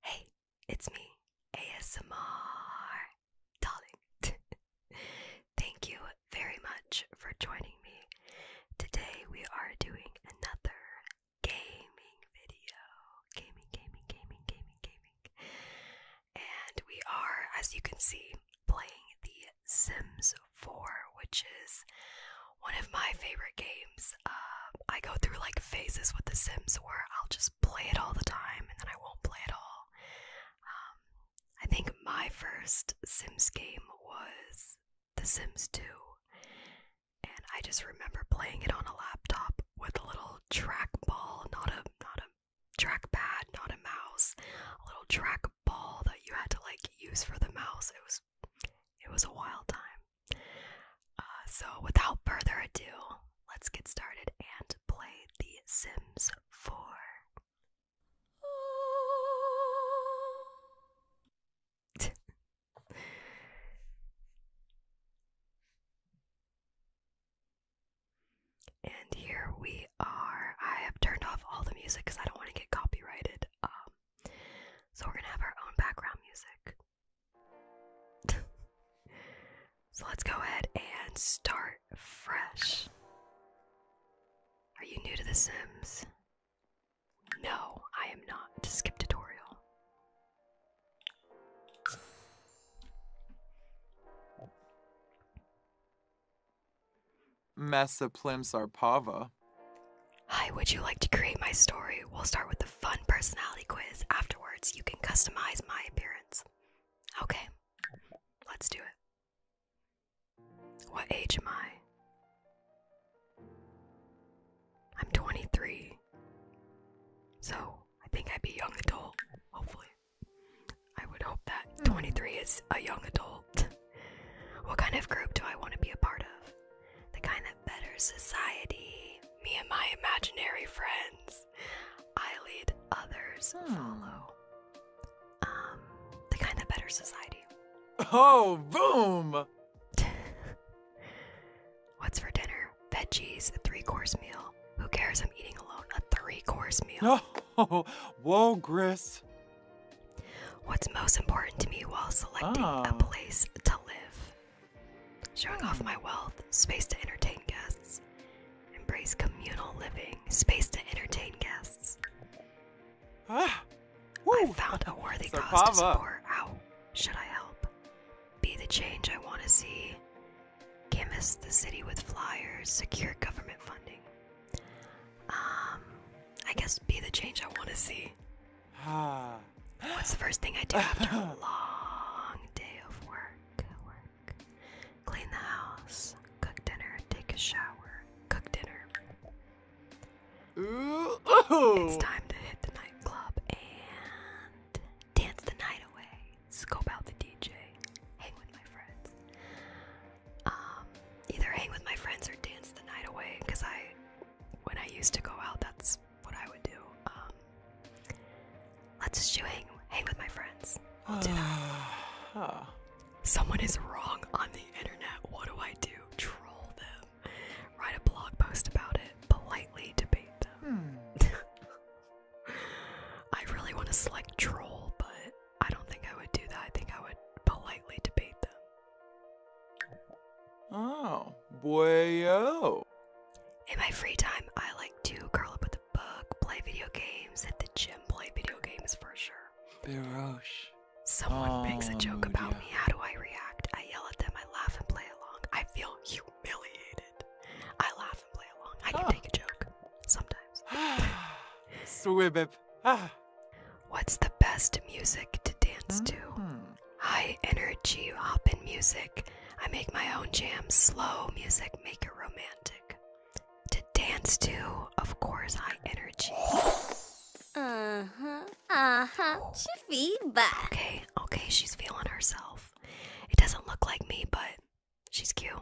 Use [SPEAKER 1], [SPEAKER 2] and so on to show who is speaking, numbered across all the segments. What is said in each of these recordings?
[SPEAKER 1] Hey, it's me, ASMR Darling. Thank you very much for joining me. Today we are doing another gaming video. Gaming, gaming, gaming, gaming, gaming and we are, as you can see, playing The Sims 4, which is one of my favorite games. Um, I go through like phases with The Sims where I'll just play it all the time and then I won't play it all. Um, I think my first Sims game was The Sims 2, and I just remember playing it on a laptop with a little trackball, not a not a trackpad, not a mouse, a little track ball that you had to like use for the mouse. It was it was a wild time. Uh, so without further ado, let's get started and play The Sims 4. And here we are. I have turned off all the music because I don't want to get copyrighted. Um, so we're gonna have our own background music. so let's go ahead and start fresh. Are you new to The Sims? No, I am not. Skip tutorial. Massa Plim
[SPEAKER 2] Sarpava.
[SPEAKER 1] Hi, would you like to create my story? We'll start with the fun personality quiz. Afterwards, you can customize my appearance. Okay, let's do it. What age am I? I'm 23. So, I think I'd be young adult, hopefully. I would hope that 23 is a young adult. What kind of group do I want to be a part of? The kind that better society. Me and my imaginary friends. I lead, others hmm. follow. Um, the kind that betters society. Oh, boom! What's for dinner? veggies, a three course meal. Who cares? I'm eating alone. A three course meal. Oh, whoa, Gris. What's most important to me while selecting a ah. place to live? Showing off my wealth, space to entertain guests, embrace communal living, space to entertain guests. Ah, Woo. I found a worthy cause to support. How should I help? Be the change I want to see. Canvass the city with flyers, secure government funding. Um, I guess be the change I want to see. Ah. What's the first thing I do after a long day of work? Clean the house, cook dinner, take a shower, cook dinner. It's time to hit the nightclub and dance the night away, scope out the DJ, hang with my friends. Um, either hang with my friends or dance the night away, because I, when I used to go out, that's what I would do. Um, let's just it. hang with my friends. I'll do that. Someone is wrong on the internet. What do I do? Troll them. Write a blog post about it. Politely debate them.
[SPEAKER 2] Hmm.
[SPEAKER 1] I really want to select troll, but I don't think I would do that. I think I would politely debate them. Oh, boyo. In my free time, I like to curl up with a book, play video games, at the gym, play video games for sure. Be Birosh. Someone makes a joke oh, about me. How do I react? I yell at them, I laugh and play along. I feel humiliated. I laugh and play along. I can ah. take a joke sometimes.
[SPEAKER 2] Swibip.
[SPEAKER 1] Ah. What's the best music to dance to? Mm-hmm. High energy hoppin' music. I make my own jams. Slow music, make it romantic. To dance to, of course, high energy. Uh huh. Uh huh. She feedback. Okay, okay, she's feeling herself. It doesn't look like me, but She's cute.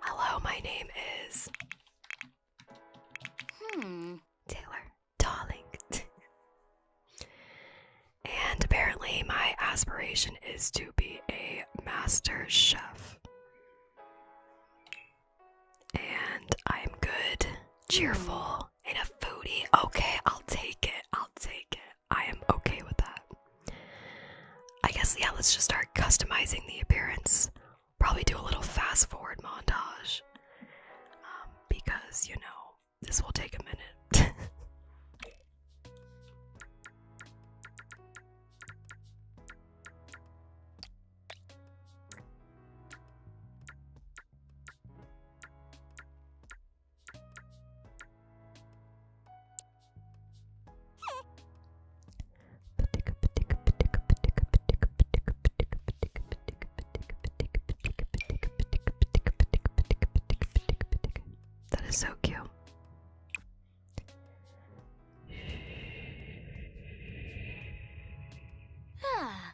[SPEAKER 1] Hello, my name is. Hmm. Taylor. Darling. and apparently, my aspiration is to be a master chef. And I'm good, hmm. cheerful, and a foodie. Okay, I'll take it. I'll take it. I am okay with that. I guess, yeah, let's just start customizing the appearance. Probably do a little fast forward montage. Um, because, you know, this will take a minute. That is so cute. Ah.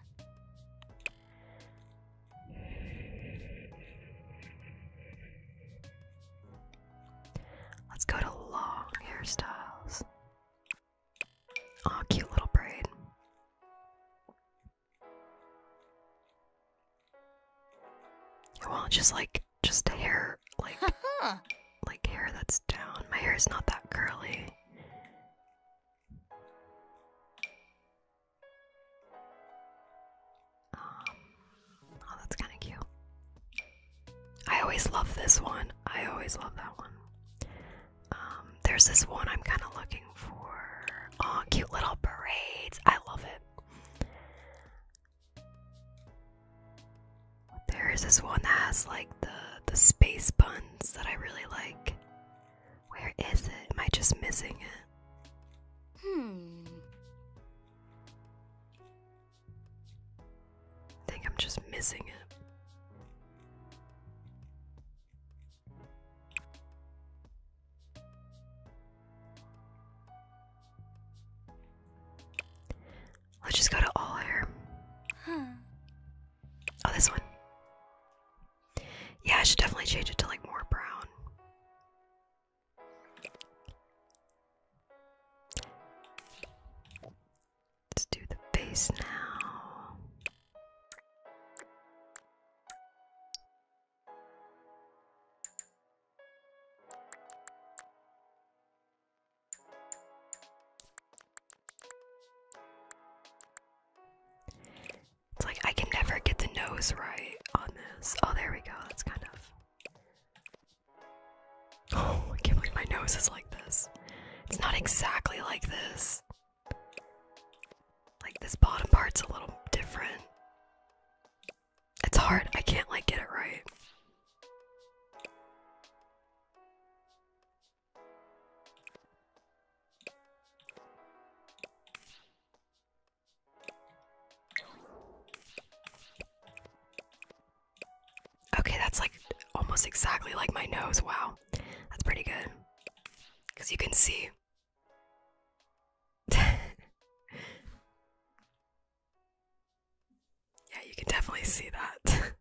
[SPEAKER 1] Let's go to long hairstyles. oh, cute little braid. Well, just like, just hair, like, like hair that's down. My hair is not that curly. Um, oh, that's kind of cute. I always love this one. I always love that one. Um, there's this one I'm kind of looking for. Oh, cute little parades. I love it. There is this one that has like the the space buns that I really like. Where is it? Am I just missing it? Hmm. I think I'm just missing it. Let's just go to all hair. Huh. Oh, this one. Yeah, I should definitely change it to like more brown. Let's do the face now. It's like I can never get the nose right on this. Oh, there we go. That's kind of. Oh, I can't believe my nose is like this. It's not exactly like this. Like this bottom part's a little different. It's hard. I can't like get it right. Okay, that's like almost exactly like my nose. Wow. That's pretty good. Because you can see. yeah, you can definitely see that.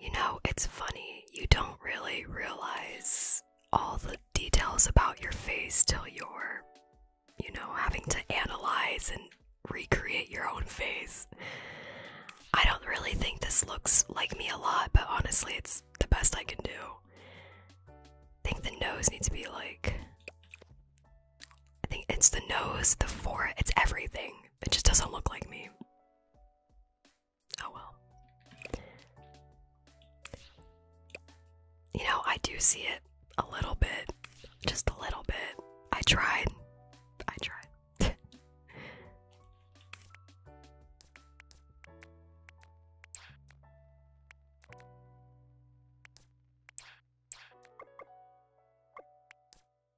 [SPEAKER 1] You know, it's funny, you don't really realize all the details about your face till you're, you know, having to analyze and recreate your own face. I don't really think this looks like me a lot, but honestly, it's the best I can do. think the nose needs to be like I think it's the nose, the forehead, it's everything. It just doesn't look like me. Oh well. You know, I do see it a little bit. Just a little bit. I tried. I tried.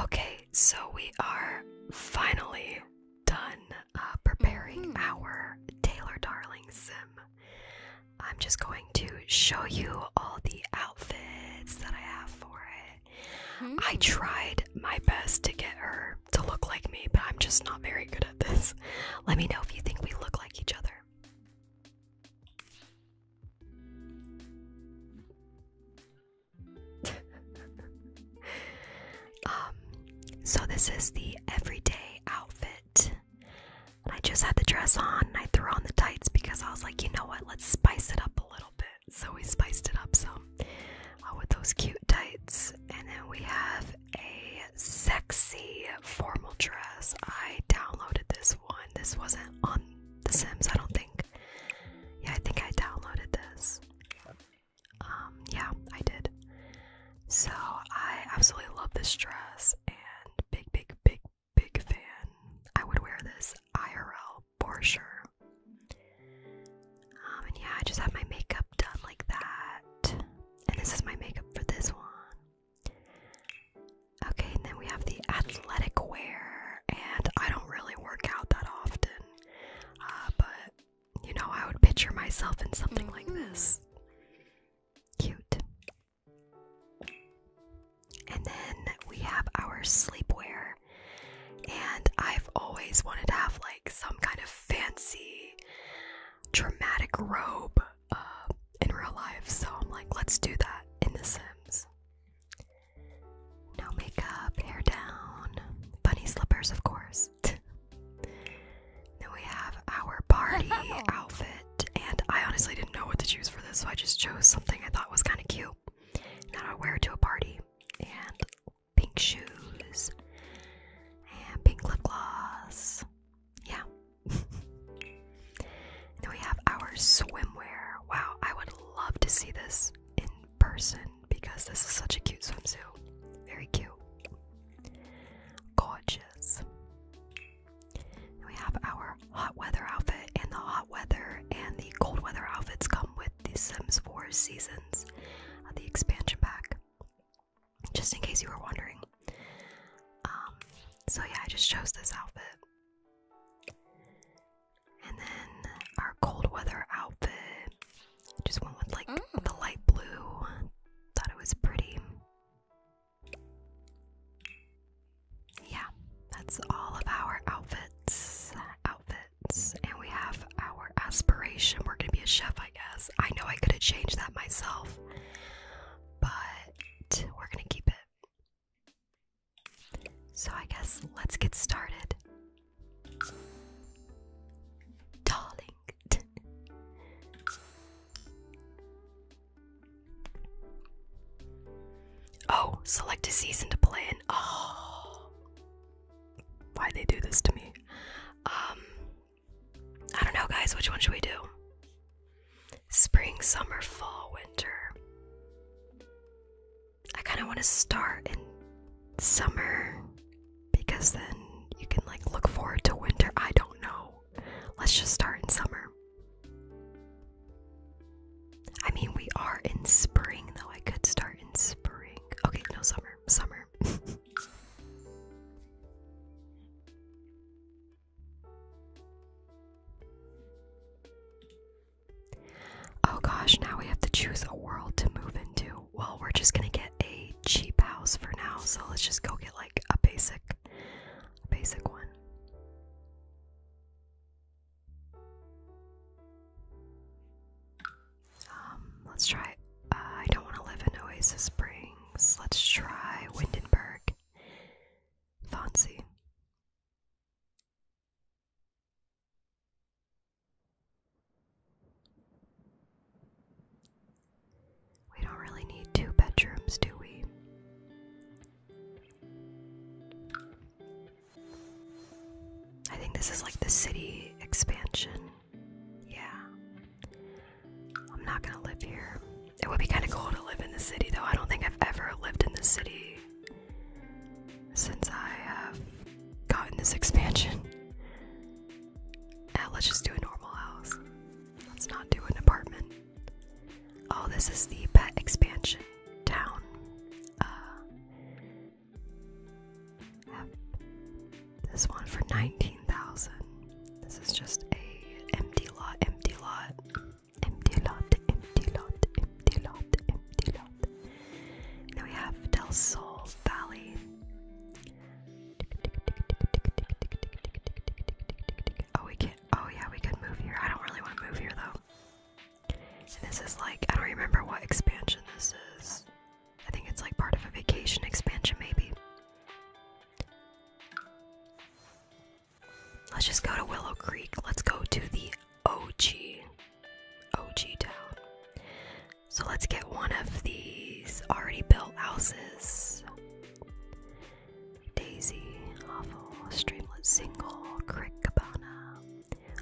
[SPEAKER 1] Okay, so we are finally done uh, preparing mm-hmm. our Taylor Darling sim, I'm just going to show you all the outfits that I have for it. I hmm. tried my best to get her to look like me, but I'm just not very good at this. Let me know if you think we look like each other. um, so this is the everyday outfit. I just had the dress on and I threw on the tights because I was like, you know what, let's spice it up a little bit. So we spiced it up So uh, with those cute tights. And then we have a sexy formal dress. I downloaded this one. This wasn't on The Sims, I don't think. Yeah, I think I downloaded this um, yeah, I did. So I absolutely love this dress and big, big, big, big fan. I would wear this IRL for sure. Um, and yeah, I just have my makeup done like that. And this is my makeup for this one. Okay, and then we have the athletic wear. And I don't really work out that often, uh, but you know, I would picture myself in something like mm-hmm. this. Cute. And then we have our sleepwear. And I've always wanted to have like some kind of fancy, dramatic robe uh, in real life. So I'm like, let's do that in The Sims. No makeup, hair down, bunny slippers, of course. Then we have our party outfit, and I honestly didn't know what to choose for this, so I just chose something I thought was kind of cute. Now I wear it to a party, and pink shoes, and pink lip gloss. Yeah. then we have our swimwear. Wow, I would love to see this in person because this is such a cute swimsuit. Very cute. Gorgeous. we have our hot weather outfit, and the hot weather and the cold weather outfits come with the Sims 4 Seasons, uh, the expansion pack. Just in case you were wondering. Um, so, yeah, I just chose this outfit. And then our cold weather outfit just went with like oh. the light blue. Thought it was pretty. Yeah, that's all of our outfits. Outfits. And we have our aspiration. We're gonna be a chef, I guess. I know I could have changed that myself, but we're gonna keep it. So I guess let's get started. Darling. oh, select a season to play in. Oh, ah. why they do this to me? Um, I don't know, guys. Which one should we do? Spring, summer, fall, winter. I kind of want to start in summer because then you can like look forward to winter. I don't know. Let's just start in summer. I mean, we are in spring though. I could start in spring. Okay, no summer. Summer. oh gosh, now we have to choose a world to move into well, we're just gonna get a cheap house for now, so let's just go get like a basic, basic one. Um, let's try. Uh, I don't want to live in Oasis Springs. Let's try Windenburg. Fancy. We don't really need two bedrooms, do we? I think this is like the city expansion. Yeah. I'm not gonna live here. It would be kind of cool to live in the city, though. I don't think I've ever lived in the city since I have gotten this expansion. Ah, let's just do a normal house. Let's not do an apartment. Oh, this is the pet expansion town. Uh, This one for 19,000. This is just a empty lot, empty lot, empty lot, empty lot, empty lot, empty Now we have Del Sol Valley. Oh, we can. Oh, yeah, we could move here. I don't really want to move here though. And this is like I don't remember what expansion this is. I think it's like part of a vacation expansion, maybe. Let's just go to Willow Creek. Let's go to the OG, OG town. So let's get one of these already built houses. Daisy, awful, streamlet single, crick cabana.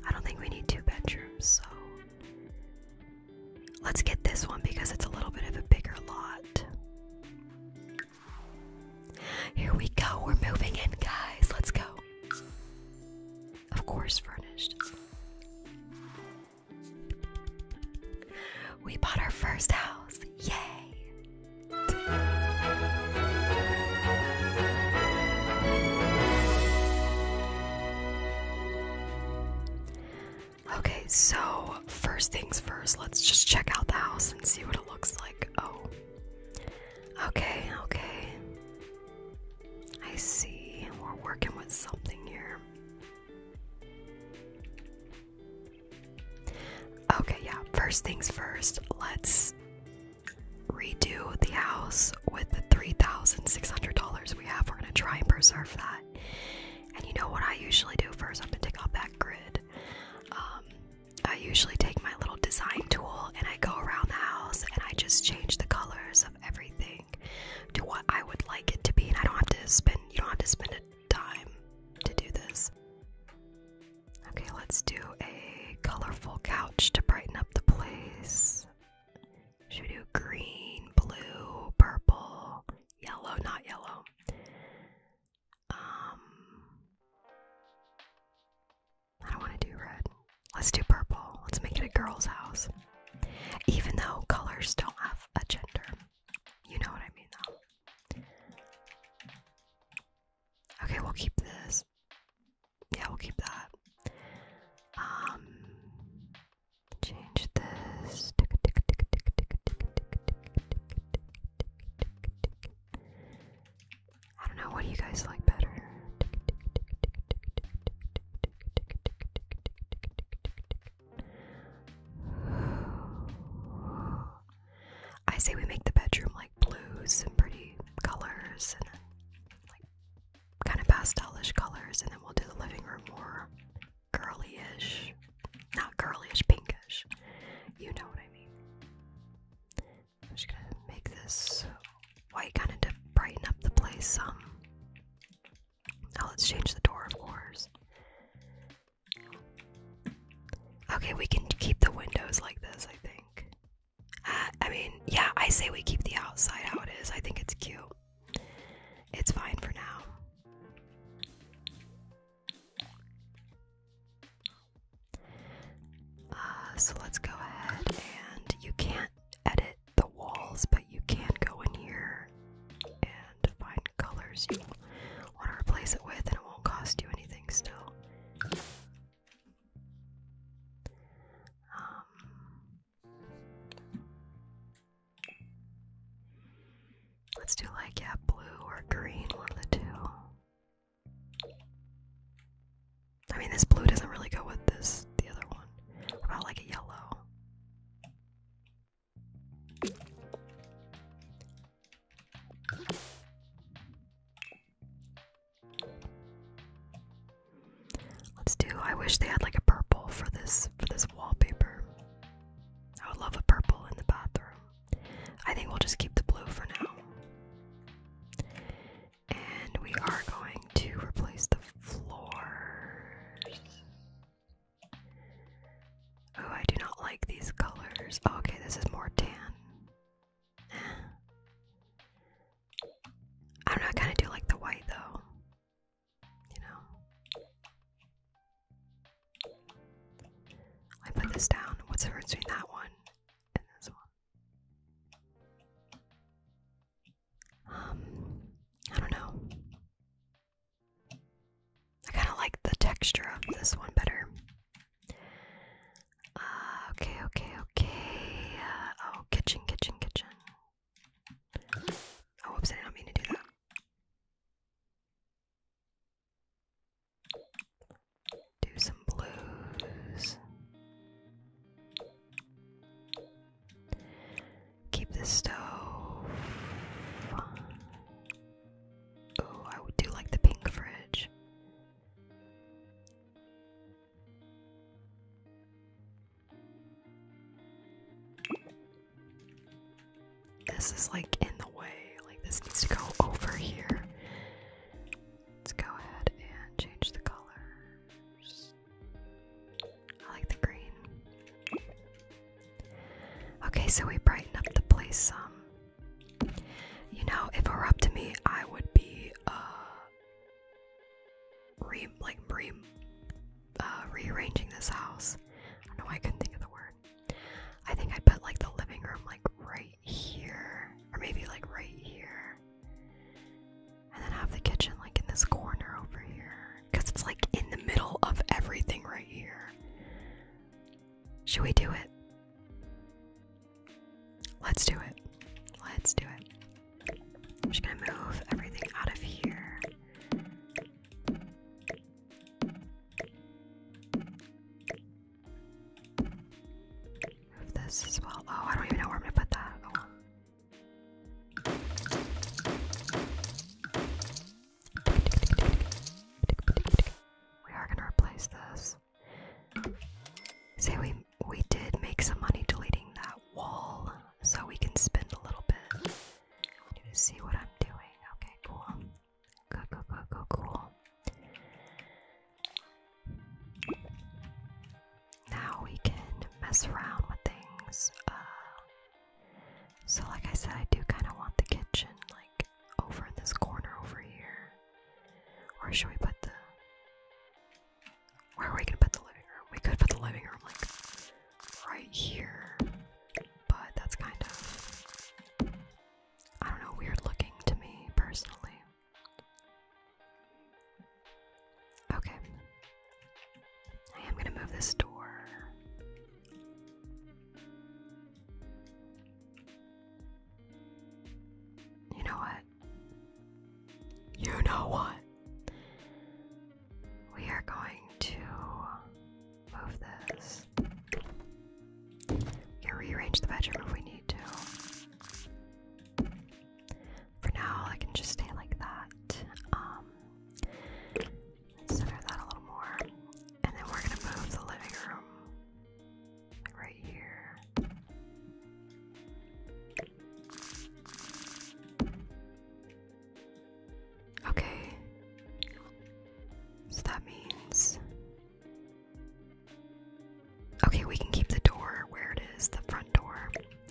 [SPEAKER 1] I don't think we need two bedrooms, so let's get this one because it's a little bit of a bigger lot. Here we go, we're moving in, guys. Let's go. Of course, furnished. We bought our first house. Yay! Okay, so first things first, let's just check out the house and see what it looks like. Oh. Okay, okay. I see. We're working with something here. Okay, yeah, first things first, let's redo the house with the $3,600 we have. We're gonna try and preserve that. And you know what I usually do first? I'm gonna take off that grid. Um, I usually take my little design tool and I go around the house and I just change the colors of everything to what I would like it to be, and I don't have to spend you don't have to spend a dime to do this. Okay, let's do a colorful couch to brighten up the place. Should we do green, blue, purple, yellow, not yellow? Um I don't want to do red. Let's do purple. Let's make it a girl's house. Even though colors don't have a gender. You know what I mean, though. Okay, we'll keep this. Yeah, we'll keep that. Um, change this. I don't know. What do you guys like better? I say we make the bedroom like blues and pretty colors and like kind of pastelish colors, and then we'll do the living room more girly-ish, not girly-ish, pinkish. You know what I mean. I'm just gonna make this white kind of to brighten up the place some. Now let's change the door, of course. Okay, we can keep the windows like this, I think. Uh, I mean, yeah, I say we keep the outside how it is. I think it's cute. It's fine for now. Uh, so let's go ahead and you can't edit the walls, but you can go in here and find colors you want to replace it with, and it won't cost you anything still. Um, let's do like, yeah, blue or green, one of the two. I mean, this blue doesn't really go with this, the other one. about like a yellow? Let's do I wish they had like a purple for this for this wallpaper. I would love a purple in the bathroom. I think we'll just keep the blue for now. And we are going to replace the floor. Oh, I do not like these colors. Oh, okay, this is more tan. Eh. I don't know, I kind of do like the white though. You know? I put this down. What's the difference between that one and this one? Um, I don't know. I kind of like the texture of this one better. Uh, okay, okay, okay. oh, kitchen, kitchen, kitchen. Oh, oops, I didn't mean to do that. Do some blues. Keep the stove. Oh, I would do like the pink fridge. This is like in the way. Like this needs to go over here. Let's go ahead and change the colors. I like the green. Okay, so we brighten up the place some. You know, if it were up to me, I would be uh re like re uh, rearranging this house. I I couldn't think of the word. I think I'd put like the living room like right here, or maybe like right here, and then have the kitchen like in this corner over here. Because it's like in the middle of everything right here. Should we do it? Let's do it. Let's do it. I'm just gonna move everything out of here. Move this as well. Oh, I don't even know where I'm gonna put that. Oh. We are gonna replace this. Say we we did make some money deleting that wall, so we can spend a little bit. see what I'm doing. Okay, cool. Go go go go cool. Now we can mess around with things. Uh, so, like I said, I do kind of want the kitchen like over in this corner over here. Or should we put the. Where are we gonna put the living room? We could put the living room like right here. But that's kind of. I don't know, weird looking to me personally. Okay. I am gonna move this door. You know what? You know what? We are going to move this. We rearrange the bedroom if we need to. For now, I can just stay like that. Um, center that a little more. And then we're gonna move the living room right here. Okay. So that means. Okay, we can keep the door where it is, the front door.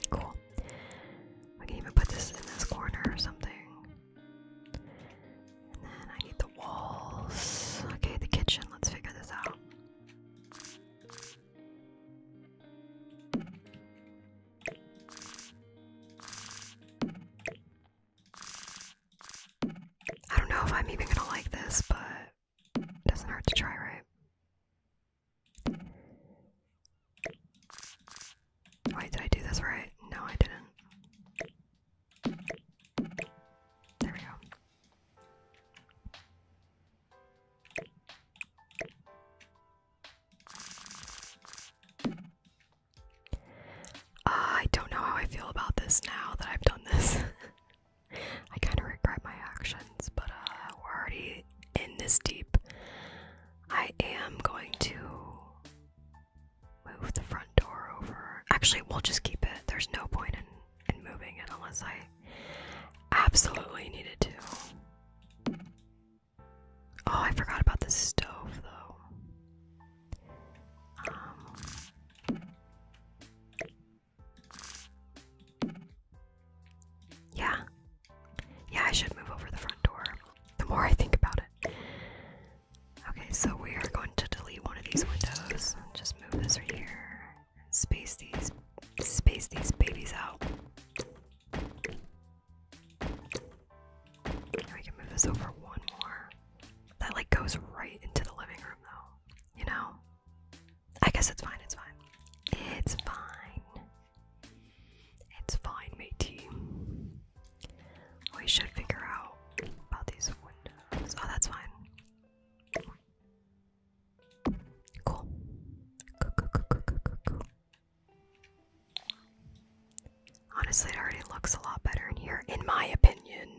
[SPEAKER 1] Cool. We can even put this in this corner or something then I need the walls. Okay, the kitchen. Let's figure this out. I don't know if I'm even gonna like this, but it doesn't hurt to try, right? Wait, did I do this right? No, I didn't. There we go. Ah, I don't know how I feel about this now that I've done this. I kind of regret my actions, but uh, we're already in this deep. I am going to move the front door over. Actually, we'll just keep it. There's no point in, in moving it unless I absolutely needed to. Oh, I forgot about the stove though. Um, yeah. Yeah, I should move over the front door. The more I think about it, Okay, so we are going to delete one of these windows. Just move this right here. Space these space these babies out. we can move this over one more. That like goes right into the living room though. You know? I guess it's fine, it's fine. It's fine. It's fine, matey. We should figure out about these windows. Oh, that's fine. Cool. Cool, cool, cool, cool, cool, cool. Honestly, it already looks a lot better in here, in my opinion.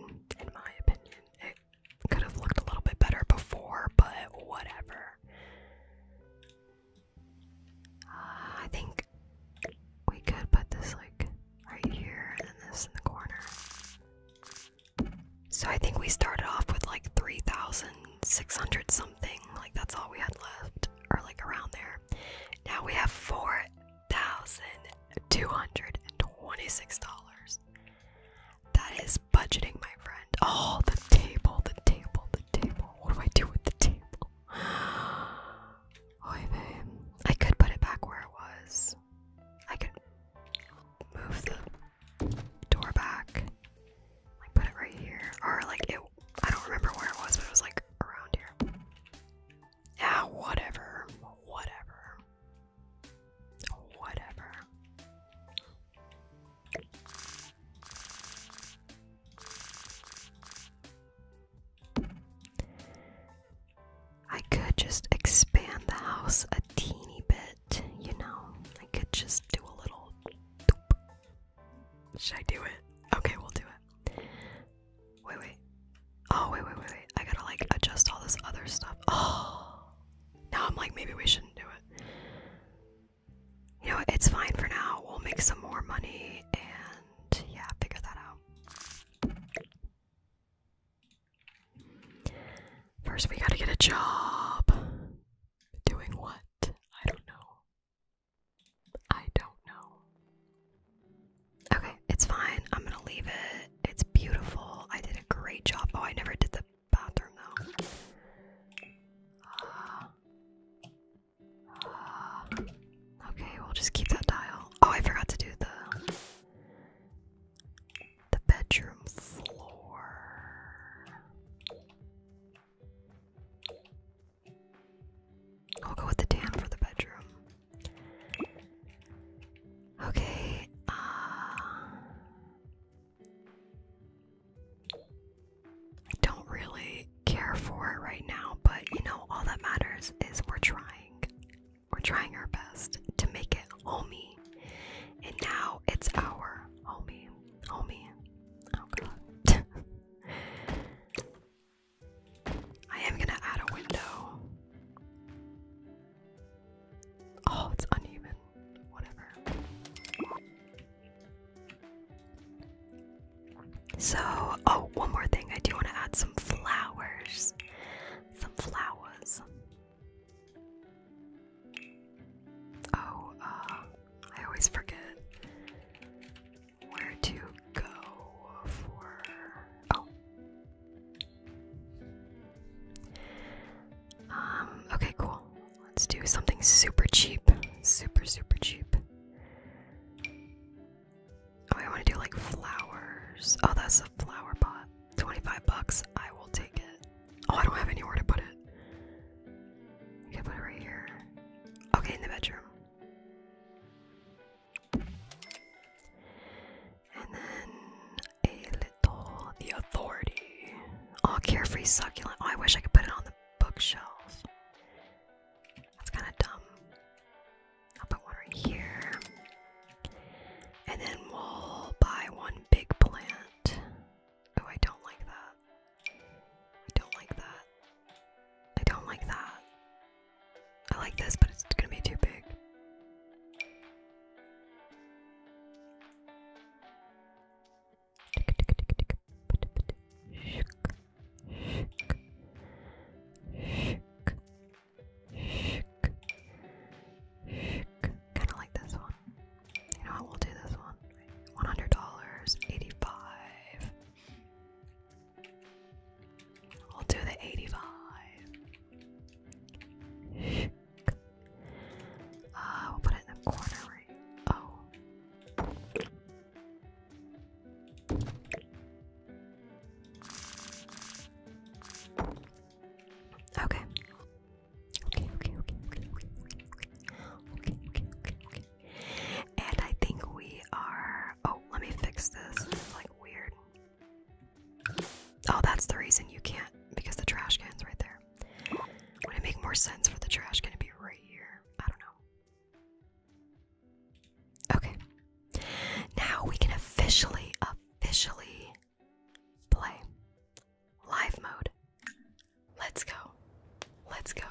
[SPEAKER 1] In my opinion, it could have looked a little bit better before, but whatever. Uh, I think we could put this like right here and this in the corner. So I think we started off with like 3,600 something, like that's all we had left, or like around there. Now we have $4,226. That is budgeting, my friend. Oh, the table, the table, the table. What do I do with the table? I could put it back where it was. I could move the door back. Like put it right here. Or like I don't remember where it was, but it was like around here. Yeah, whatever. Whatever. Whatever. I could just expand the house a teeny bit, you know. I could just do a little. Should I do it? Okay, we'll do it. Wait, wait. Oh, wait, wait, wait, wait. I gotta like adjust all this other stuff. Oh. Now I'm like, maybe we shouldn't do it. You know, it's fine for now. We'll make some more money and yeah, figure that out. First, we gotta get a job. Doing what? I don't know. I don't know. Okay, it's fine. I'm gonna leave it. It's beautiful. I did a great job. Oh, I never did the bathroom though. Ah. Ah. Okay, we'll just keep that dial. Oh, I forgot to do the the bedroom floor. I'll go with the tan for the bedroom. Okay, uh, I don't really care for it right now, but you know, all that matters is we're trying. We're trying our best to make it homey. And now it's our homey. Homey. Oh god. I am gonna add a window. Oh, it's uneven. Whatever. So, oh, one more thing. I do want to add some flowers. Some flowers. Oh, uh, I always forget where to go for. Oh. Um, okay, cool. Let's do something super cheap. Super, super cheap. Oh, I want to do like flowers. Oh, that's a flower pot. 25 bucks. I will take it. Oh, I don't have anywhere to put it. I can put it right here. Okay, in the bedroom. And then a little the authority. Oh, carefree succulent. Oh, I wish I could put it on the bookshelf. That's kind of dumb. I'll put one right here. And then we'll buy one big plant. Oh, I don't like that. I don't like that. I don't like that. I like this, but it's gonna be too big. Kind of like this one. You know what? We'll do this one. One hundred dollars, eighty-five. We'll do the eighty-five. Uh, we'll put it in the corner. Right? Oh. Okay. Okay, okay, okay, okay, okay, okay, okay, okay, okay, okay. And I think we are. Oh, let me fix this. It's like weird. Oh, that's the reason you can't because the trash can's right there. Would it make more sense for the trash can to be right here? I don't know. Okay. Now we can officially, officially play live mode. Let's go. Let's go.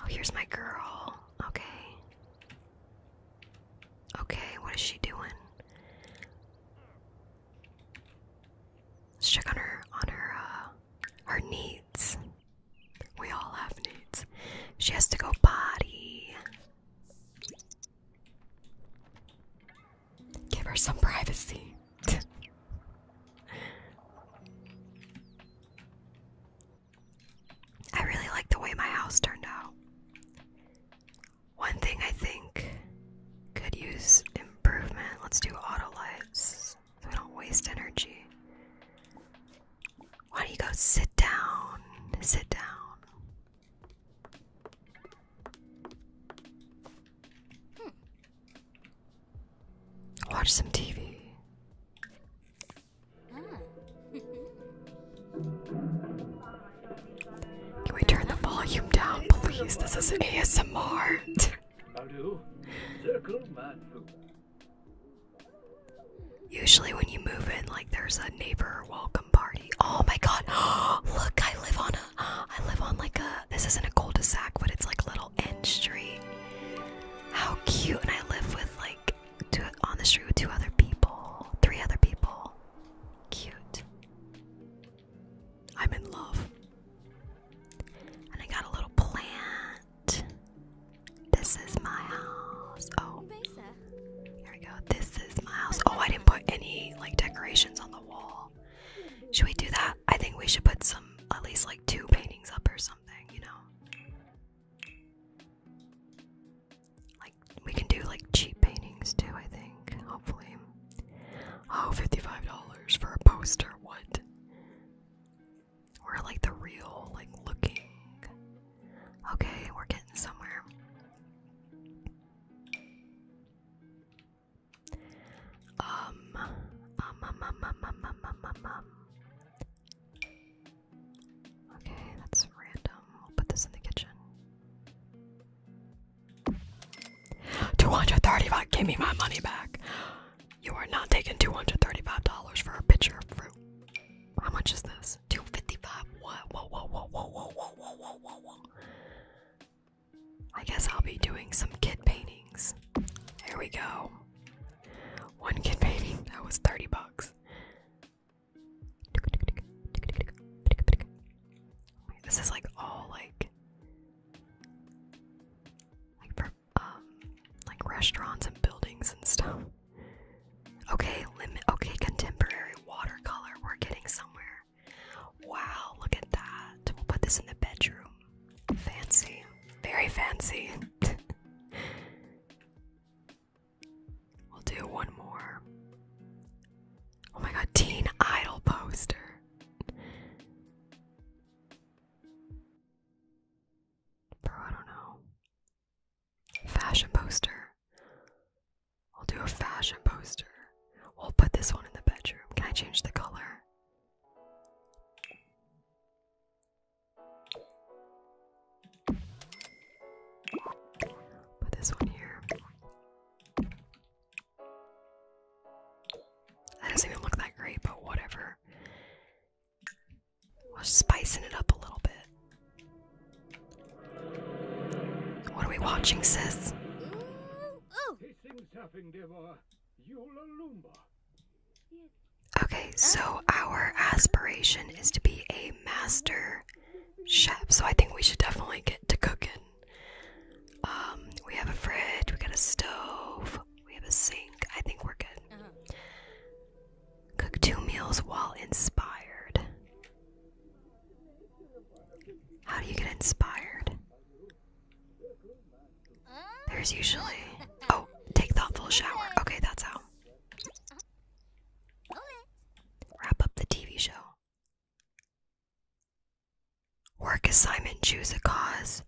[SPEAKER 1] Oh, here's my girl. Okay. Okay, what is she doing? Let's check on her on her uh her needs. We all have needs. She has to go potty. Give her some privacy. I really like the way my house turned out. One thing I think could use improvement. Let's do auto lights so we don't waste energy. Why don't you go sit down? Sit down. Hmm. Watch some TV.
[SPEAKER 2] Can we turn the volume down, please? This is ASMR.
[SPEAKER 1] Usually, when you move in, like there's a neighbor welcome party. Oh my god! Look, I live on a. I live on like a. This isn't a cul-de-sac, but it's like a little end street. How cute! And I live with like two on the street with two other people, three other people. Cute. I'm in love. And I got a little plant. This is my house. Oh, here we go. This is my house. Oh, I didn't put any like decorations on the wall. Should we do that? I think we should put some, at least like two paintings up or something, you know? Like, we can do like cheap paintings too, I think. Hopefully. Oh, $55 for a poster. What? Or like the real, like looking Okay, we're getting somewhere. Um um, um, um, um, um, um, um, um, um, Okay, that's random. We'll put this in the kitchen. 235 Give me my money back. You are not taking $235 for a picture of fruit. How much is this? 255. What? Whoa, whoa, whoa, whoa, whoa, whoa, whoa, whoa, whoa, I guess I'll be doing some kid paintings. Here we go. One kid painting, that was 30 bucks. this is like all like like um, restaurants and buildings and stuff. Okay, Okay, contemporary watercolor. We're getting somewhere. Wow, look at that. We'll put this in the bedroom. Fancy. Very fancy. we'll do one more. Oh my god, teen idol poster. Bro, I don't know. Fashion poster. I'll do a fashion poster. We'll put this one in the bedroom. Can I change the color? Put this one here. That doesn't even look that great, but whatever. We're spicing it up a little bit. What are we watching, sis? Okay, so our aspiration is to be a master chef, so I think we should definitely get to cooking. Um, we have a fridge, we got a stove, we have a sink. I think we're good. Uh-huh. Cook two meals while inspired. How do you get inspired? There's usually. Oh, take thoughtful shower. Okay, that's how. Wrap up the TV show. Work assignment, choose a cause.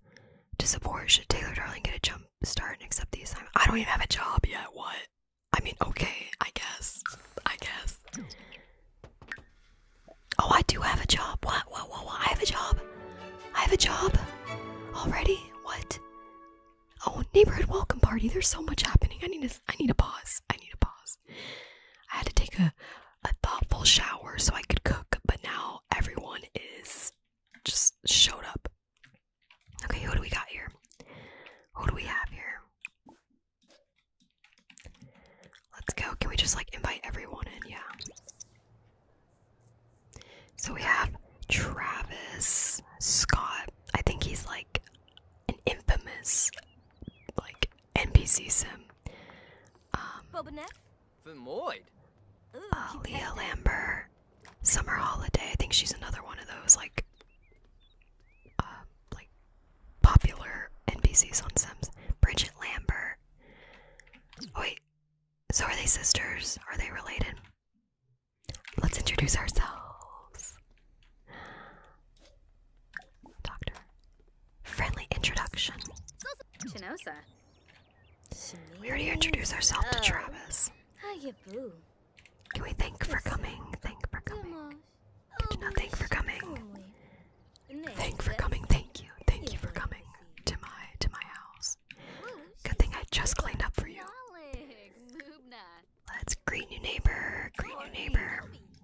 [SPEAKER 1] To support, should Taylor Darling get a jump start and accept the assignment? I don't even have a job yet, what? I mean, okay, I guess. I guess. Oh, I do have a job. What? What? What? what? I have a job. I have a job already. What? Oh, neighborhood welcome party. There's so much happening. I need to. I need a pause. I need a pause. I had to take a a thoughtful shower so I could cook, but now everyone is just showed up. Okay, who do we got here? Who do we have here? Let's go. Can we just like invite everyone in? Yeah. So we have Travis Scott. I think he's like an infamous like NPC sim. Um uh, Leah Lambert. Summer Holiday. I think she's another one of those like uh, like popular NPCs on Sims. Bridget Lambert. Oh, wait, so are they sisters? Are they related? Let's introduce ourselves. Doctor. Friendly introduction. Chinosa. We already introduced ourselves to Travis. Hiya, boo. Can we thank for coming? Thank for coming. Did you not thank for coming? Thank for coming. Thank you. Thank you for coming to my to my house. Good thing I just cleaned up for you. Let's greet new neighbor. Greet new neighbor.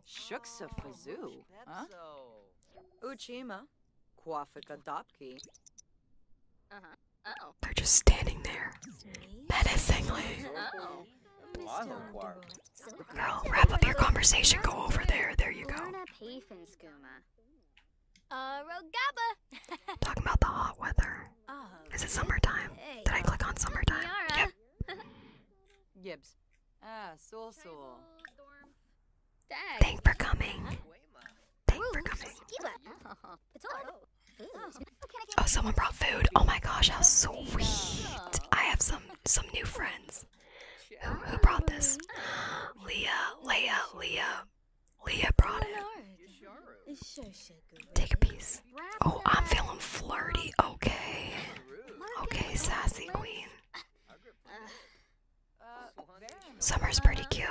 [SPEAKER 1] Shuksa Fazoo. Huh? Uchima. Quafika Dopki. Uh-huh. They're just standing there. Menacingly. Girl, wrap up your conversation. Go over there. There you go. Uh, Talking about the hot weather. Oh, Is it summertime? Did I click on uh, summertime? Yep. Gibbs. Ah, for coming. Thank for coming. Oh, someone brought food. Oh my gosh, how sweet. I have some some new friends. Who, who brought this? Leah, Leah, Leah. Leah brought it. Take a piece. Oh, I'm feeling flirty. Okay. Okay, sassy queen. Summer's pretty cute.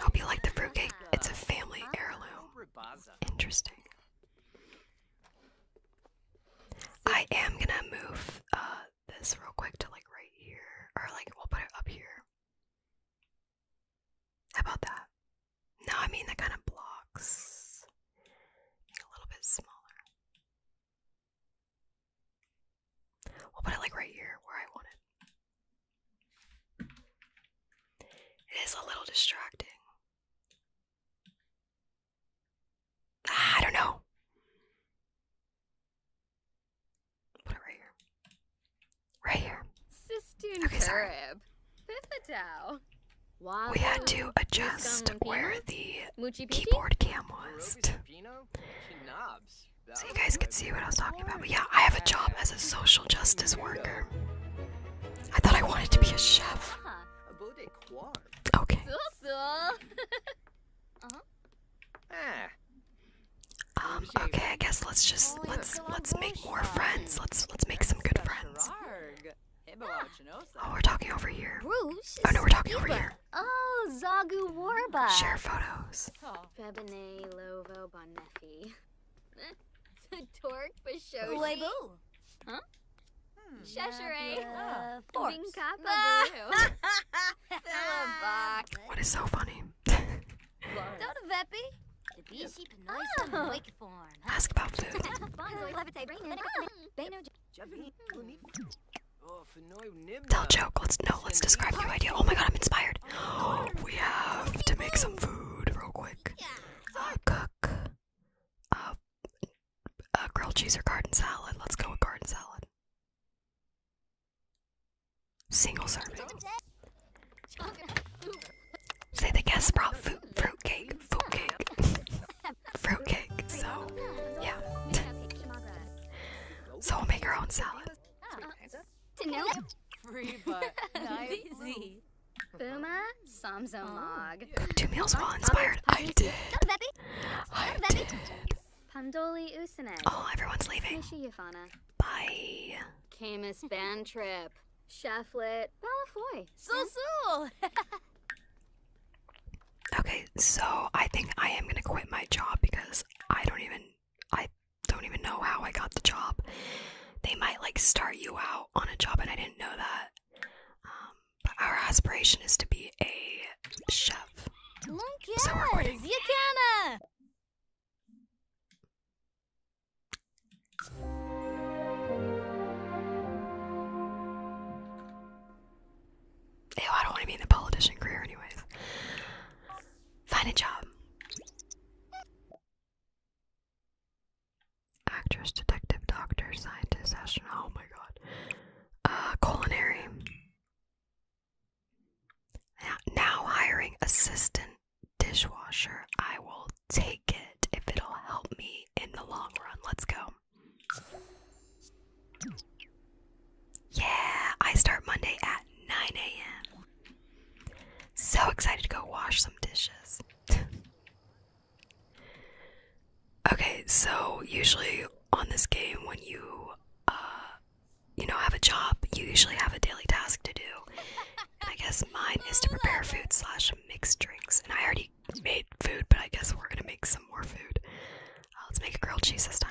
[SPEAKER 1] Hope you like the fruitcake. It's a family heirloom. Interesting. I am gonna move uh, this real quick to like right here, or like we'll put it up here. How about that? No, I mean that kind of blocks. A little bit smaller. We'll put it like right here where I want it is a little distracting. Ah, I don't know. Put it right here. Right here. Sistine okay, sorry. We had to adjust where the keyboard cam was. so you guys could see what I was talking about. But yeah, I have a job as a social justice worker. I thought I wanted to be a chef. Okay. Um, okay, I guess let's just let's let's make more friends. Let's let's make some good friends. Oh, we're talking over here. Oh no, we're talking over here. Oh, Zagu Warba. Share photos. Torque, Bashoshi. Uebu. Huh? Hmm.
[SPEAKER 2] Cheshire. Yeah, oh. Vinkapa
[SPEAKER 1] Bach. What is so funny? Dota Veppy. The Bishi Penoisa oh. Wake Form. Ask about food. Oh, Tell joke. Let's no. Let's describe your idea. Oh my god, I'm inspired. we have to make some food real quick uh, cook uh, grilled cheese or garden salad. Let's go with garden salad. Single serving. Say the guests brought fruit, cake, fruit cake, fruit cake. So, yeah. so we'll make our own salad. Free Boomer, Samsomog. Oh. Two meals all inspired. I did. I did. Pandoli Usane. Oh, everyone's leaving. Bye. Camus Bantrip. Shefflet. Malafoy. Sul hmm? Okay, so I think I am gonna quit my job because I don't even I don't even know how I got the job. They might like start you out on a job and I didn't know that. Um, but our aspiration is to be a chef. So we're recording. Ew, I don't want to be in the politician career anyways. Find a job actress, detective, doctor, scientist, astronaut. Oh my god. Uh, culinary. Now hiring assistant dishwasher. I will take it if it'll help me in the long run. Let's go. Yeah, I start Monday at 9 a.m. So excited to go wash some dishes. Okay, so usually on this game, when you, uh, you know, have a job, you usually have a daily task to do. And I guess mine is to prepare food slash mix drinks. And I already made food, but I guess we're gonna make some more food. Uh, let's make a grilled cheese this time.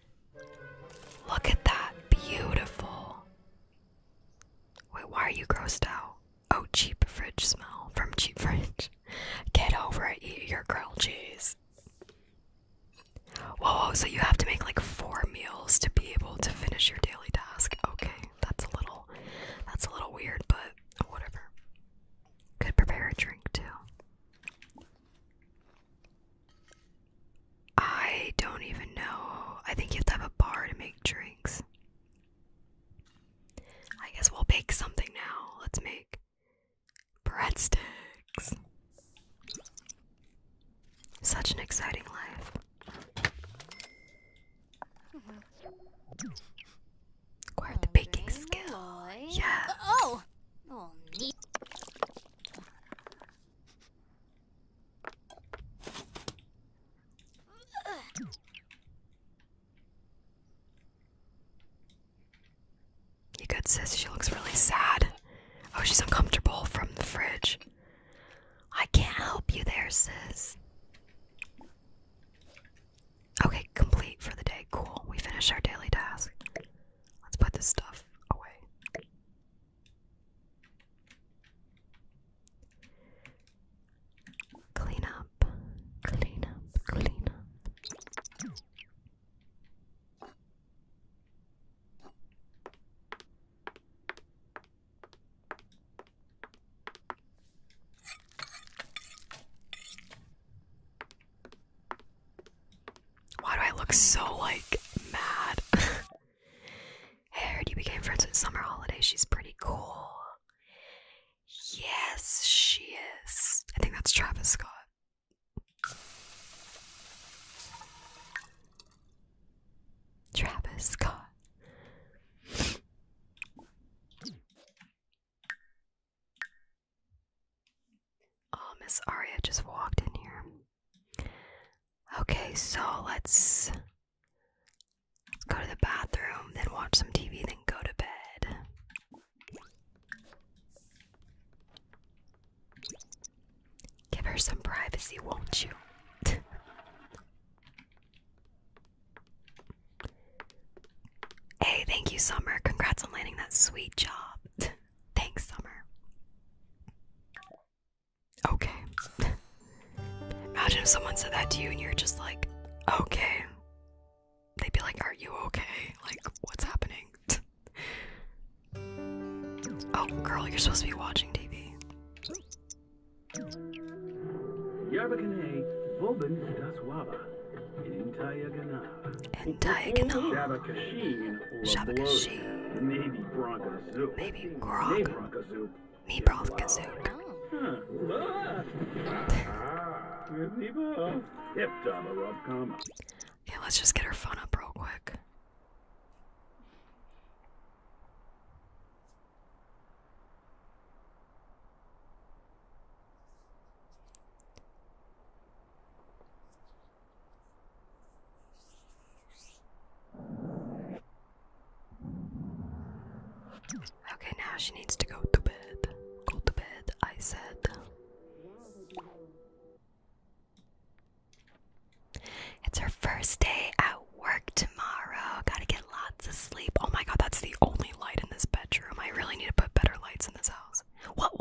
[SPEAKER 1] Look at that. Beautiful. Wait, why are you grossed out? Oh, cheap fridge smell from cheap fridge. Get over it, eat your grilled cheese. Whoa, so you have to make like four meals to be able to finish your daily task. Okay, that's a little that's a little weird, but whatever. Could prepare a drink too. I don't even know. I think you have to have a bar to make drinks. I guess we'll bake something now. Let's make breadsticks. Such an exciting life. Acquired the baking skill. Yeah. Oh. oh you good, sis? She looks really sad. Oh, she's uncomfortable from the fridge. I can't help you there, sis. Okay, complete for the day. Cool. We finish our daily task. Let's put this stuff away. Clean up, clean up, clean up. Why do I look so like mad? Hey, I you became friends with Summer Holiday. She's pretty cool. Yes, she is. I think that's Travis Scott. Travis Scott. Oh, Miss Aria just walked in here. Okay, so let's, let's go to the bathroom, then watch some TV, then go to bed. Give her some privacy, won't you? hey, thank you, Summer. Congrats on landing that sweet job. Thanks, Summer. Okay. Imagine if someone said that to you and you're just like, okay. They'd be like, are you okay? Like, what's happening? oh, girl, you're supposed to be watching TV. Yarbakane, Vobin Daswaba, Intayagana. Shabakashi. Shabakashi. Navy Bronco Maybe Grog. Me broth kazook. yeah, let's just get her phone up real quick. Okay, now she needs to go to bed. Go to bed, I said. It's her first day at work tomorrow. Gotta get lots of sleep. Oh my god, that's the only light in this bedroom. I really need to put better lights in this house. What,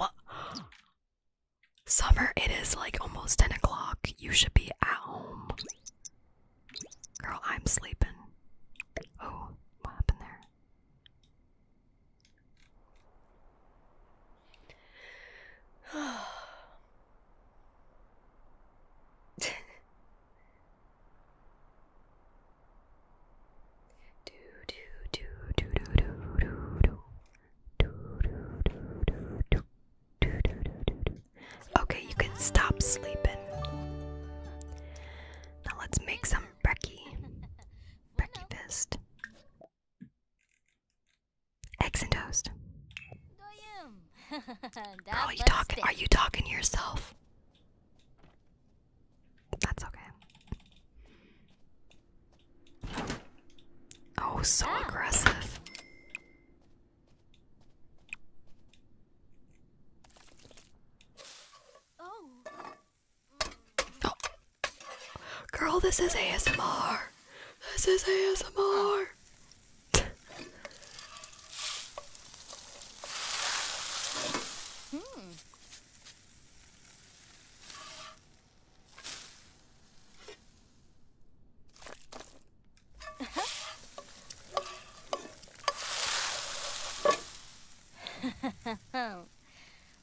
[SPEAKER 1] Summer, it is like almost 10 o'clock. You should be at home. Girl, I'm sleeping. Oh, what happened there? Okay, you can stop sleeping. Now let's make some brekkie. Brekkie fist. Eggs and toast.
[SPEAKER 2] Girl, are you talking? Are you talking to yourself?
[SPEAKER 1] That's okay. Oh, so ah. aggressive. Oh. Girl, this is ASMR. This is ASMR. hmm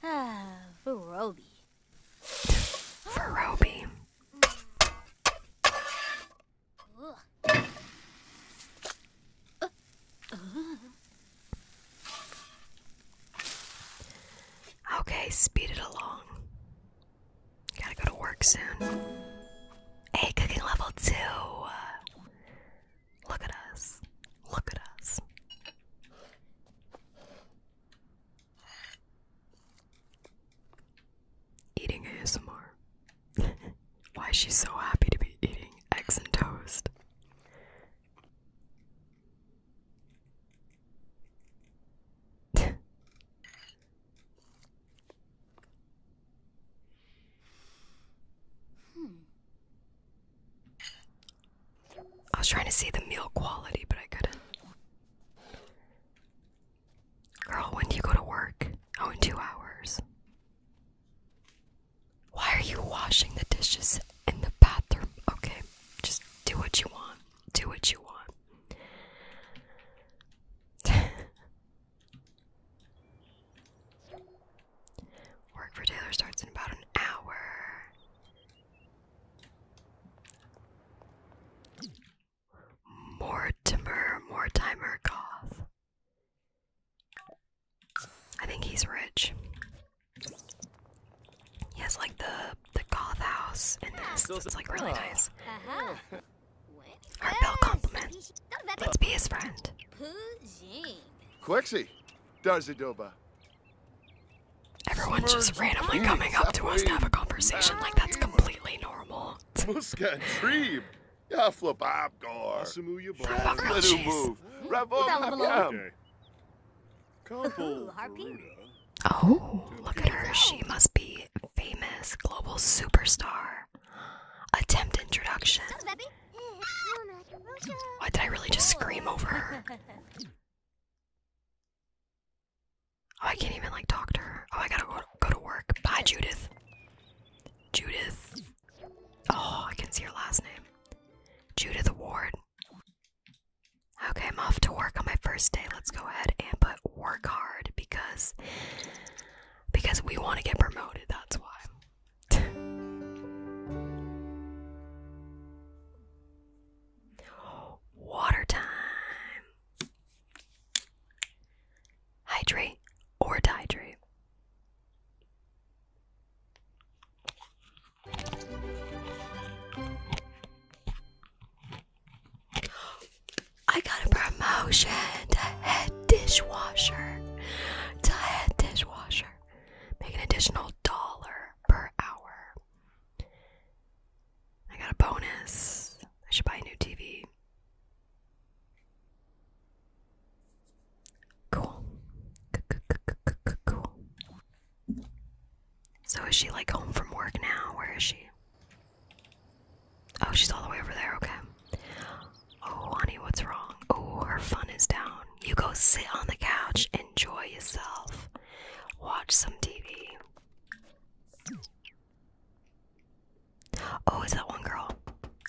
[SPEAKER 2] ah, Furobi.
[SPEAKER 1] Furobi. Okay, speed it along. Gotta go to work soon. Hey, cooking level two. Look at us. Look at us. Eating a ASMR. Why is she so happy to be eating eggs and toast? Hmm. I was trying to see the meal quality, but I couldn't. Girl, when do you go to work? Oh, in two hours. Why are you washing the dishes in the bathroom? Okay, just do what you want. Do what you want. Work for Taylor starts in about an hour. more timer, Goth. I think he's rich. He has like the the goth house and this. it's like really nice. Uh-huh. Heartbell compliment.
[SPEAKER 2] Let's be his friend. Quixie, Darzadoba.
[SPEAKER 1] Everyone's just randomly coming up to us to have a conversation like that's completely normal. Muska Trib. Yaflababgar. Let him move. Oh, look at her. She must be famous global superstar. Attempt introduction. Why did I really just scream over Oh, I can't even like talk to her. Oh, I gotta go go to work. Bye, Judith. Judith. Oh, I can see her last name. Judith Ward. Okay, I'm off to work on my first day. Let's go ahead and put work hard because because we want to get promoted, that's why. Water time. Hydrate or dehydrate. I got a promotion to head dishwasher. To head dishwasher. Make an additional dollar per hour. I got a bonus. I should buy a new TV. Cool. So is she like home from work now? Where is she? Oh, she's all the way over there. Okay. Oh, honey, what's wrong? Oh, her fun is down. You go sit on the couch, enjoy yourself, watch some TV. Oh, is that one girl?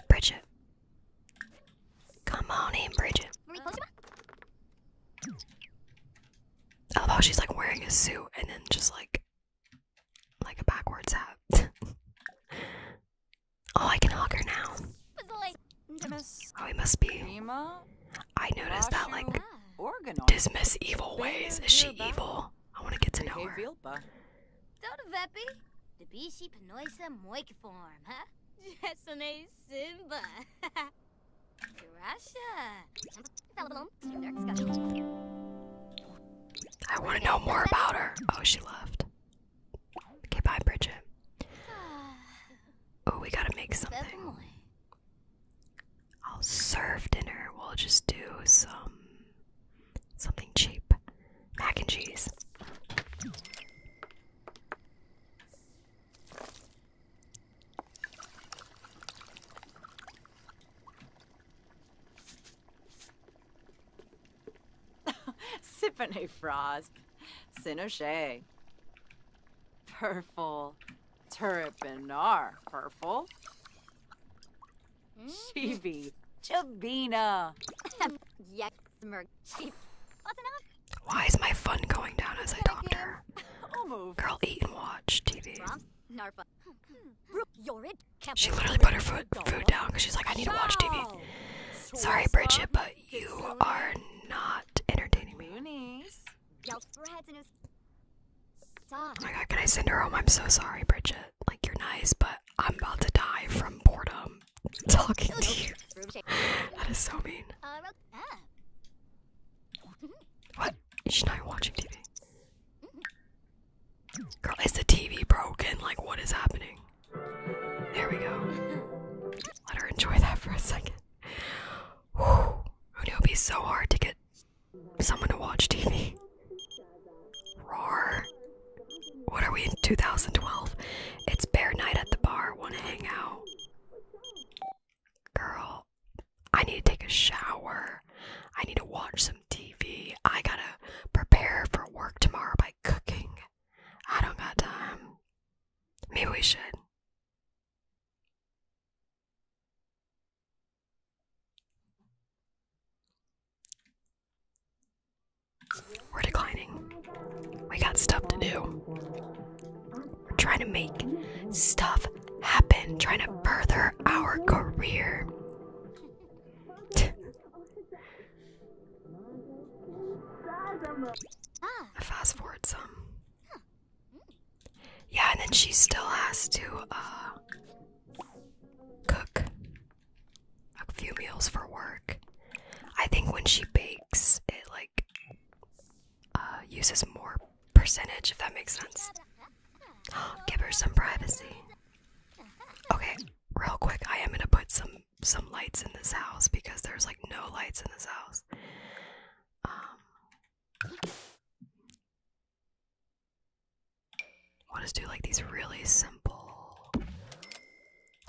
[SPEAKER 1] Bridget. Come on in, Bridget. I love how she's like wearing a suit and then just like like a backwards hat. oh, I can hug her now. Oh, it must be.
[SPEAKER 2] I noticed that, like,
[SPEAKER 1] dismiss evil ways. Is she evil? I want to get to know her. I want to know more about her. Oh, she left. Okay, bye, Bridget. Oh, we gotta make something. I'll serve dinner. We'll just do some something cheap. Mac and cheese. Siphony Frost, Sinoche, Purple, Turpinar, Purple, mm? Chibi, Chabina. Why is my fun going down as I talk to her? Girl, eat and watch TV. Narfa. Hmm. Brook, Yorid, she literally put her foot, food down because she's like, I need to watch TV. Sorry, Bridget, but you are not entertaining me. Oh my god, can I send her home? I'm so sorry, Bridget. Like, you're nice, but I'm about to die from boredom talking to you. that is so mean. What? She's not watching TV. Girl, is the TV broken? Like, what is happening? There we go. Let her enjoy that for a second. Whew. it'd be so hard to get someone to watch TV? Roar. What are we in 2012? It's bear night at the bar. Want to hang out? Girl, I need to take a shower. I need to watch some. TV. I gotta prepare for work tomorrow by cooking. I don't got time. Maybe we should. We're declining. We got stuff to do. We're trying to make stuff happen, trying to further our career. I fast forward some. Yeah, and then she still has to uh, cook a few meals for work. I think when she bakes, it like uh, uses more percentage, if that makes sense. Give her some privacy. Okay, real quick, I am going to put some some lights in this house because there's like no lights in this house. Um i do like these really simple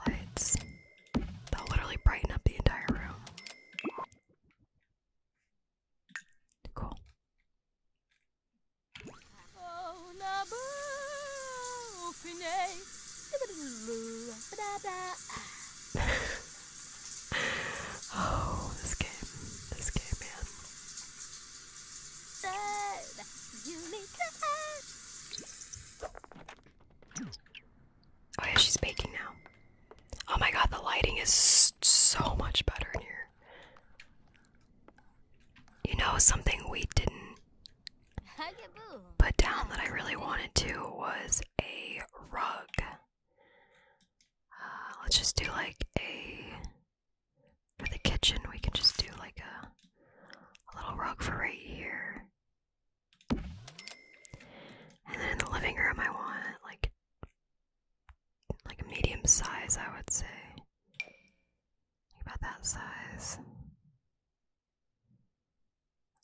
[SPEAKER 1] lights that literally brighten up the entire room. Cool.
[SPEAKER 2] Oh, this game, this game, man.
[SPEAKER 1] Oh yeah, she's baking now. Oh my god, the lighting is so much better in here. You know, something we didn't put down that I really wanted to was a rug. Uh, let's just do like a. For the kitchen, we can just do like a, little rug for right here. And then in the living room, I want like like medium size, I would say about that size.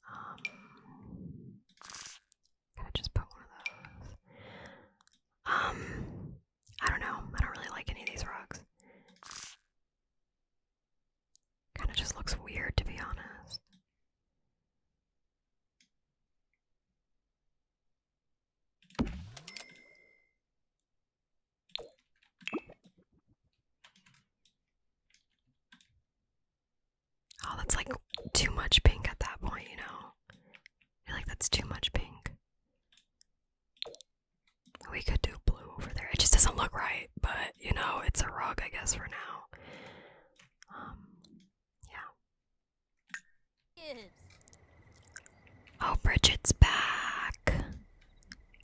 [SPEAKER 1] Um, got just put one of those. Um, I don't know. I don't really like any of these rocks. Kind of just looks weird, to be honest. Oh, that's like too much pink at that point, you know? like that's too much pink. We could do
[SPEAKER 2] blue over there. It just doesn't look right, but you know, it's a rug, I guess, for now. Um,
[SPEAKER 1] yeah. Oh, Bridget's back.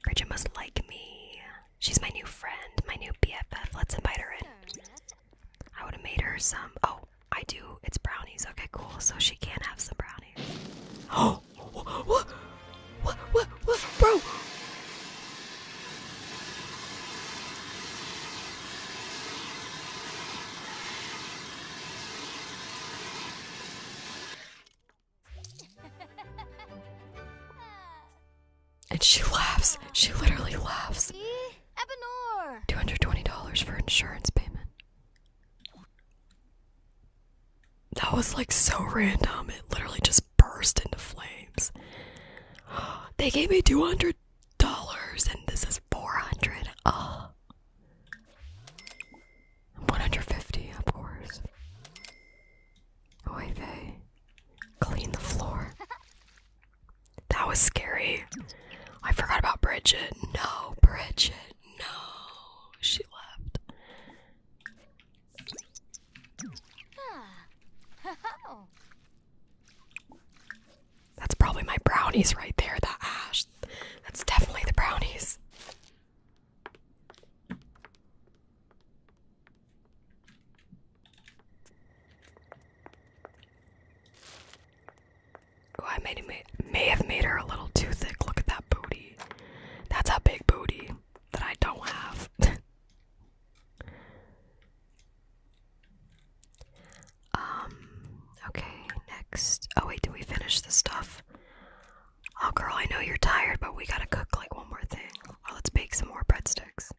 [SPEAKER 1] Bridget must like me. She's my new friend, my new BFF. Let's invite her in. I would have made her some. Oh, I do. It's brownies. Okay, cool. So she can have some brownies. Oh, what? What? What? What? Bro! And she laughs. She literally laughs. Two hundred twenty dollars for insurance payment. That was like so random. It literally just burst into flames. They gave me two hundred dollars, and this is four hundred. Oh. 150, of course. Oy Clean the floor. That was scary. I forgot about Bridget. No, Bridget. No. She left. That's probably my brownies right there, that ash. That's definitely the brownies. Oh, I may, may, may have made her a little too thick. Look at that booty. That's a big booty that I don't have. um, okay, next. Oh, wait, did we finish the stuff? Oh, girl, I know you're tired, but we gotta cook like one more thing. Or let's bake some more breadsticks.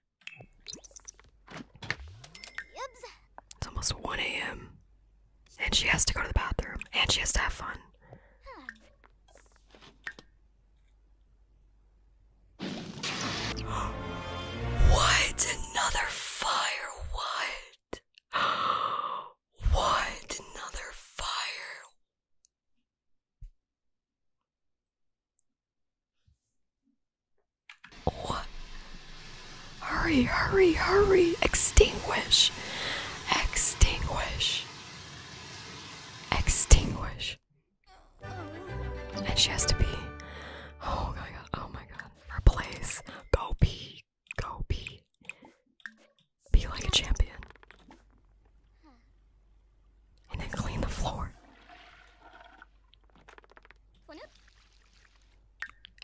[SPEAKER 1] It's almost 1 a.m. And she has to go to the bathroom. And she has to have fun. what? Another fire? What? what? Another fire? Hurry, hurry, hurry! Extinguish! Extinguish! Extinguish! And she has to be. Oh my god, oh my god. Her Go pee. Go pee. Be like a champion. And then clean the floor.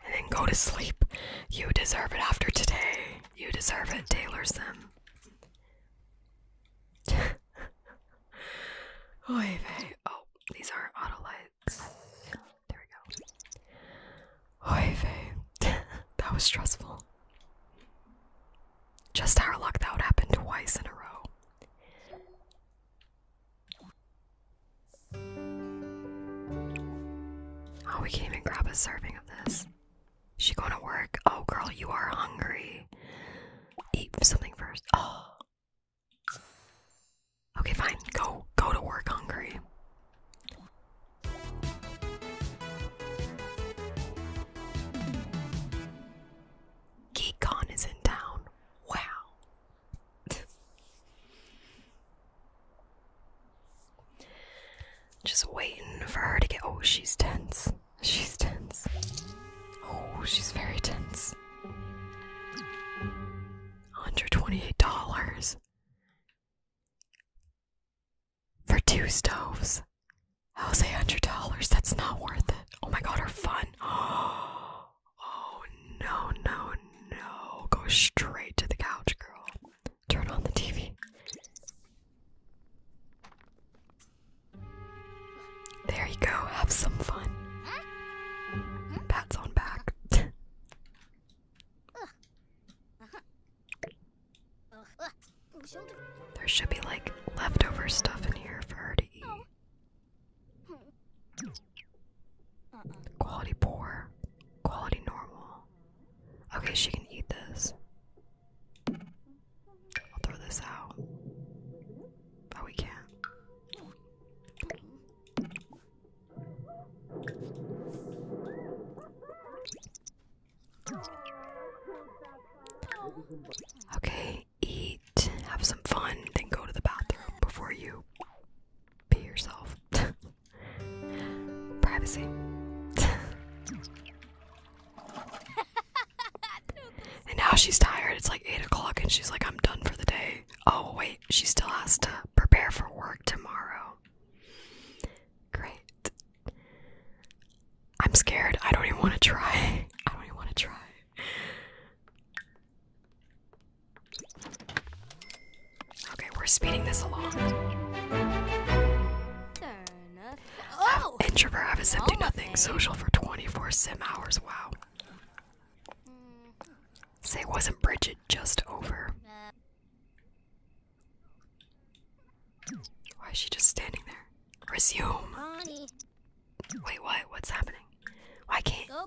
[SPEAKER 1] And then go to sleep. You deserve it after today. You deserve it, Taylor Sim. Oy vey. Oh, these are auto lights. There we go. Oy vey. that was stressful. Just our luck that would happen twice in a row. Oh, we can't even grab a serving of this. Is she going to work? Oh, girl, you are hungry. Eat something first. Oh. Okay, fine. Go, go to work hungry. GeekCon is in town. Wow. Just waiting for her to get. Oh, she's tense. She's tense. Oh, she's very tense. $128 for two stoves. I'll How's a hundred dollars? That's not worth it. Oh my god, are fun. Oh no, no, no. Go straight to the couch, girl. Turn on the TV. There you go, have some fun. Pat's on back. There should be like leftover stuff in here for her to eat. Quality poor, quality normal. Okay, she can eat this. I'll throw this out. Oh, we can't. Okay, eat, have some fun, then go to the bathroom before you pee yourself. Privacy. and now she's tired. It's like 8 o'clock and she's like, I'm done for the day. Oh, wait, she still has to prepare for work tomorrow. Great. I'm scared. I don't even want to try. I don't even want to try. Okay, we're speeding this along. Oh. Introvert, have a sim do oh nothing. Social for 24 sim hours. Wow. Say, it wasn't Bridget just over? Mm-hmm. Why is she just standing there? Resume. Wait, what? What's happening? Why can't? Okay,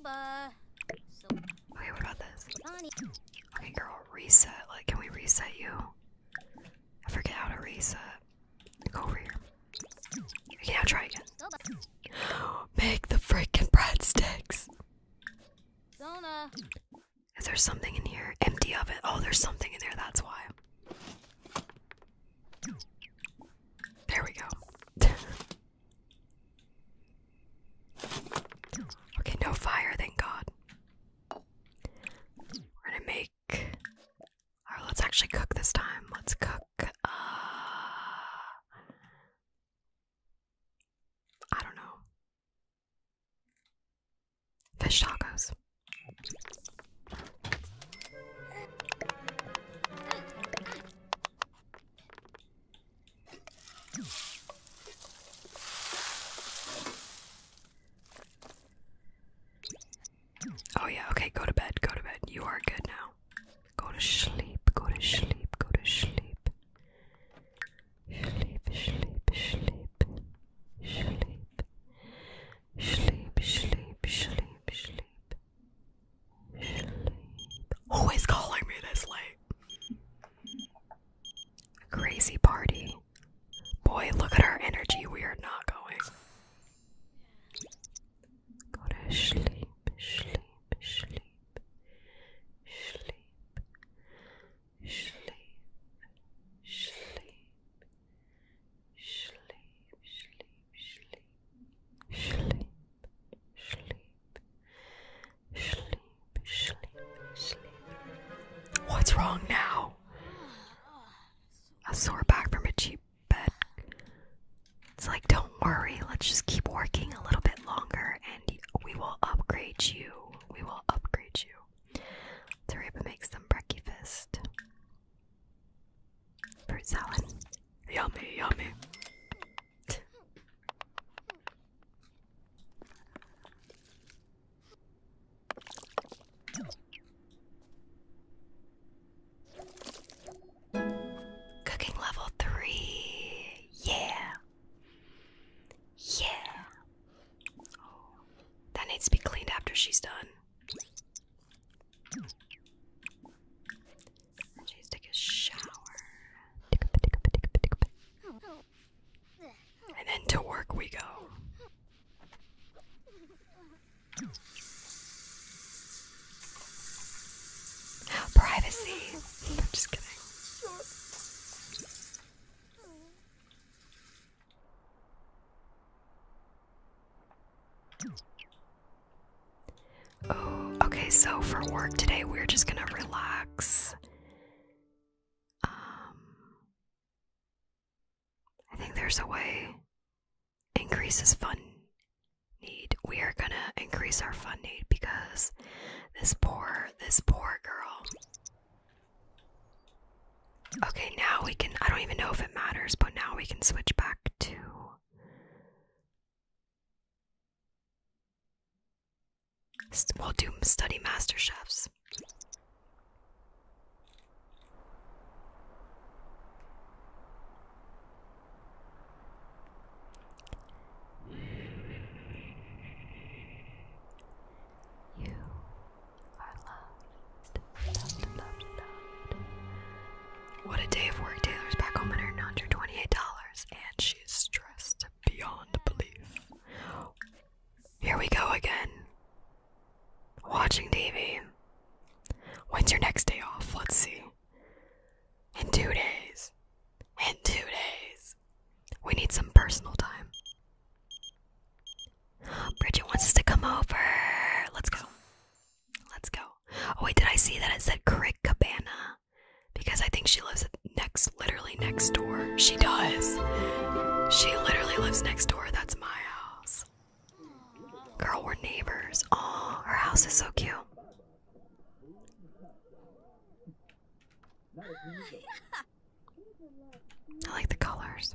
[SPEAKER 1] what about this? Okay, girl, reset. Like, can we reset you? I forget how to reset. Go over here. Okay, now try again. Make the freaking breadsticks. Is there something in here? Empty of it? Oh, there's something in there. That's why. There we go. okay, no fire, thank God. We're gonna make. Alright, let's actually cook this time. Let's cook. Uh, I don't know. Fish tacos. Oh, yeah, okay, go to bed, go to bed. You are good now. Go to sleep, go to sleep, go to sleep. Sleep, sleep, sleep, sleep. Sleep, sleep, sleep, sleep. Sleep. Who is calling me this late? Crazy party. Boy, look at our energy. We are not going. Go to sleep, sleep, sleep, sleep, sleep, sleep, Sleep, sleep, sleep, sleep, sleep, sleep, sleep, sleep. What's wrong now? A sore back from a cheap bed. It's like, don't worry, let's just keep working a little bit longer and we will upgrade you. We will upgrade you. Tariba makes them breakfast. Fruit salad. Yummy, yummy. Cooking level three. Yeah. Yeah. that needs to be cleaned after she's done. Jeez, take a shower. And then to work we go. Privacy. I'm just kidding. Oh, okay, so for work today, we're just gonna relax. Um, I think there's a way. Increases fun need. We are gonna increase our fun need because this poor, this poor girl. Okay, now we can. I don't even know if it matters, but now we can switch back to. We'll do study master chefs. You what a day of work. Taylor's back home and earned $128, and she's stressed beyond belief. Here we go again. Watching TV. When's your next day off? Let's see. In two days. In two days. We need some personal time. Bridget wants us to come over. Let's go. Let's go. Oh wait, did I see that it said Crick Cabana? Because I think she lives next, literally next door. She does. She literally lives next door. That's my house. Girl, we're neighbors. Oh, her house is so cute.
[SPEAKER 2] I like the colors.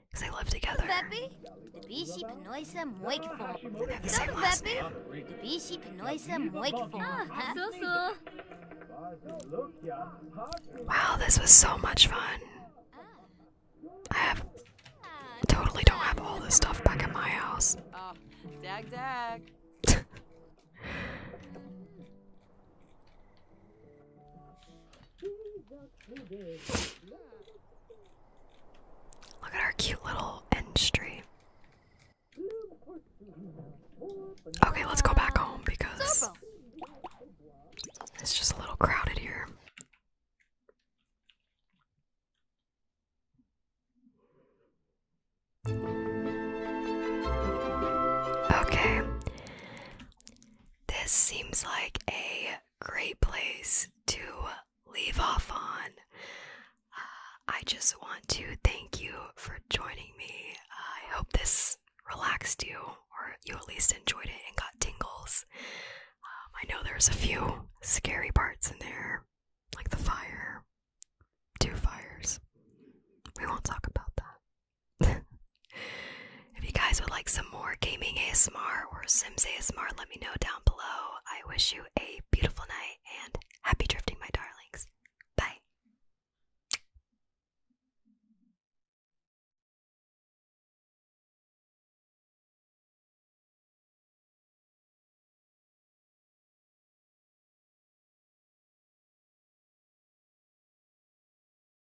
[SPEAKER 1] Because they live together. Ah,
[SPEAKER 2] wow, this was so
[SPEAKER 1] much fun. I have totally don't have all this stuff back at my house. Ah, Look at our cute little end street. Okay, let's go back home because it's just a little crowded here. Okay. This seems like a great place to leave off on. Uh, I just want to thank you for joining me. I hope this relaxed you, or you at least enjoyed it and got tingles. Um, I know there's a few scary parts in there, like the fire, two fires. We won't talk about that if you guys would like some more gaming ASMR or Sims ASMR, let me know down below. I wish you a beautiful night and happy drifting, my darlings. Bye.